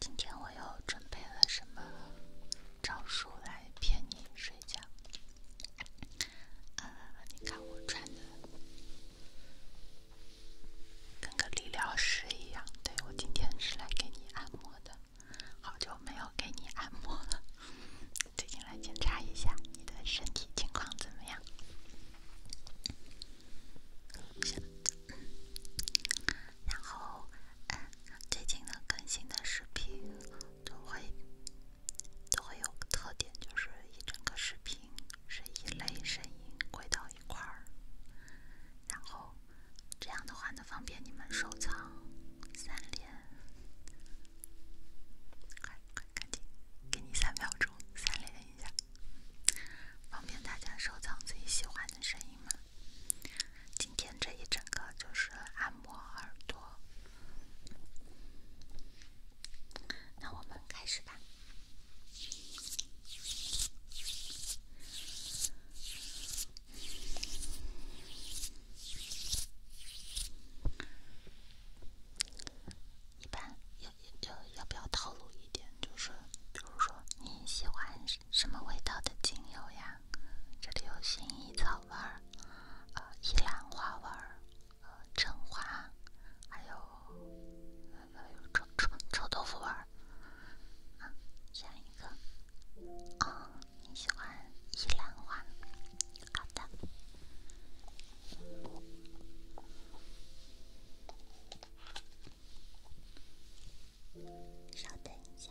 今天我又准备了什么招数来骗你睡觉？呃，你看我穿的跟个理疗师一样，对我今天是来给你按摩的。好久没有给你按摩了，最近来检查一下你的身体情况怎么样？然后，最近的更新的视频都会都会有个特点，就是一整个视频是一类声音归到一块儿，然后。这样的话呢，方便你们收藏、三连，快快赶紧，给你三秒钟，三连一下，方便大家收藏自己喜欢的声音嘛。今天这一整个就是按摩耳朵，那我们开始吧。一般要要要不要套路一点？就是，比如说你喜欢什什么味道的精油呀？这里有薰衣草味儿，呃，依兰花味儿，呃，橙花，还有。要有臭臭臭豆腐味儿啊！下一个啊，你喜欢一兰花？好的，稍等一下。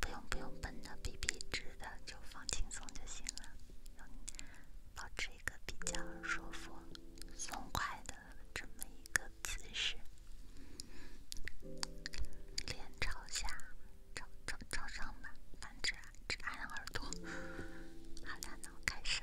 不用不用绷的，笔笔直的，就放轻松就行了，保持一个比较舒服、松快的这么一个姿势，脸朝下，朝上吧，反正只只按耳朵。好了，那开始。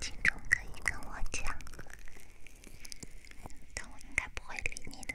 其中可以跟我讲，但我应该不会理你的。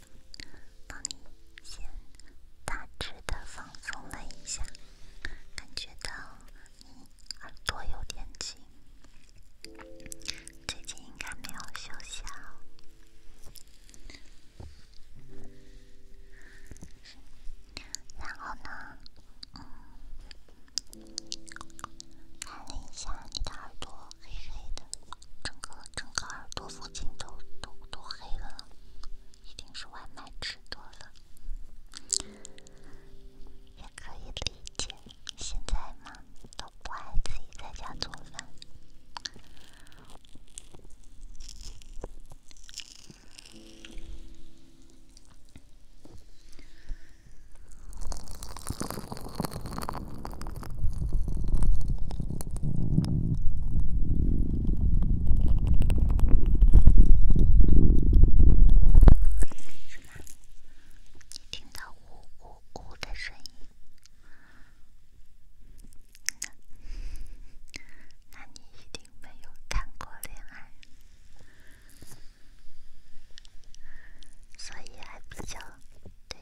帮你先大致的放松了一下，感觉到你耳朵有点紧，最近应该没有休息啊。然后呢，嗯，按摩一下你的耳朵。黑黑的，整个整个耳朵附近都都都黑了，一定是外卖吃多了，也可以理解。现在嘛，都不爱自己在家做饭。你听到咕咕咕的声音，那你一定没有谈过恋爱，所以还比较。对，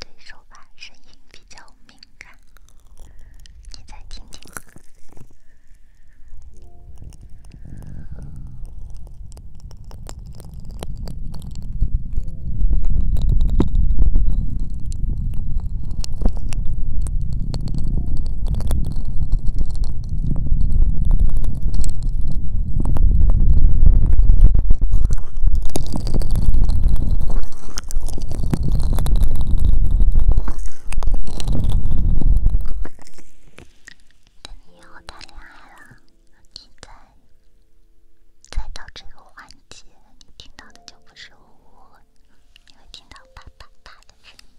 对手把声音比较敏感，你再听听。等你以后谈恋爱了，再再到这个环节，你听到的就不是呜，你会听到啪啪啪的声音。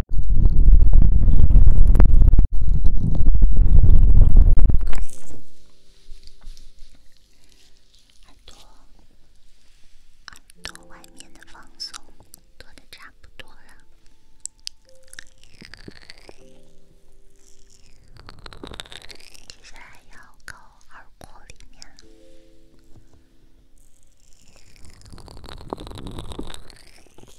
耳朵，耳朵外面的放松，多的差不多了。接下来要搞耳廓里面。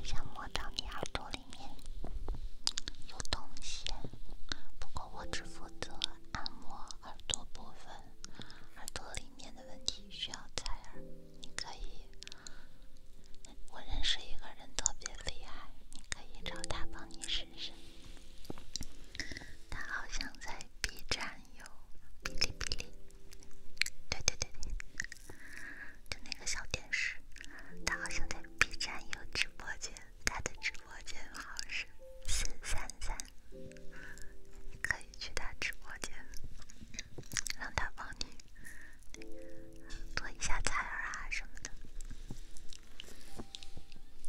我想摸到你耳朵里面有东西，不过我只负责按摩耳朵部分，耳朵里面的问题需要采耳。你可以，我认识一个人特别厉害，你可以找他帮你试试。他好像在 B 站有哔哩哔哩，对对对对，就那个小电视。他好像在 B 站有直播间，他的直播间号是四三三，可以。去他直播间，让他帮你做一下菜啊什么的。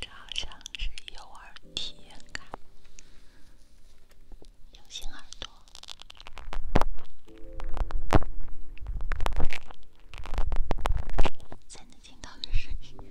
这好像是幼儿体验卡，有心耳朵才能听到的声音。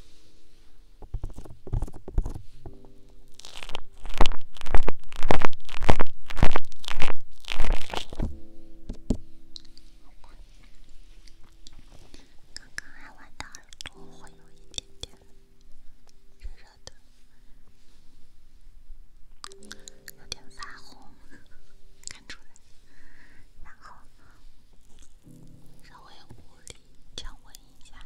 刚刚还玩到了，会有一点点热热的，有点发红，看出来，然后。稍微屋里降温一下。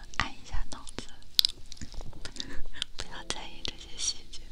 按一下脑子，不要在意这些细节。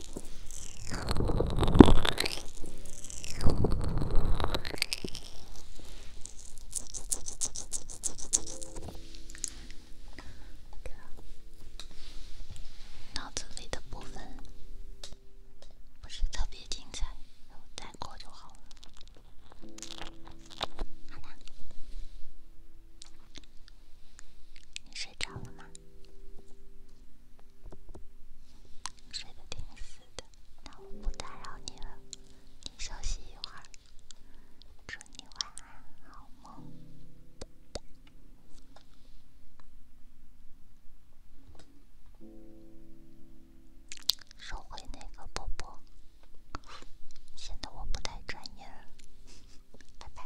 脑子里的部分不是特别精彩，再过就好了。好啦，是。睡着了吗？睡得挺死的，那我不打扰你了，你休息一会儿。祝你晚安，好梦。收回那个啵啵，显得我不太专业了。拜拜。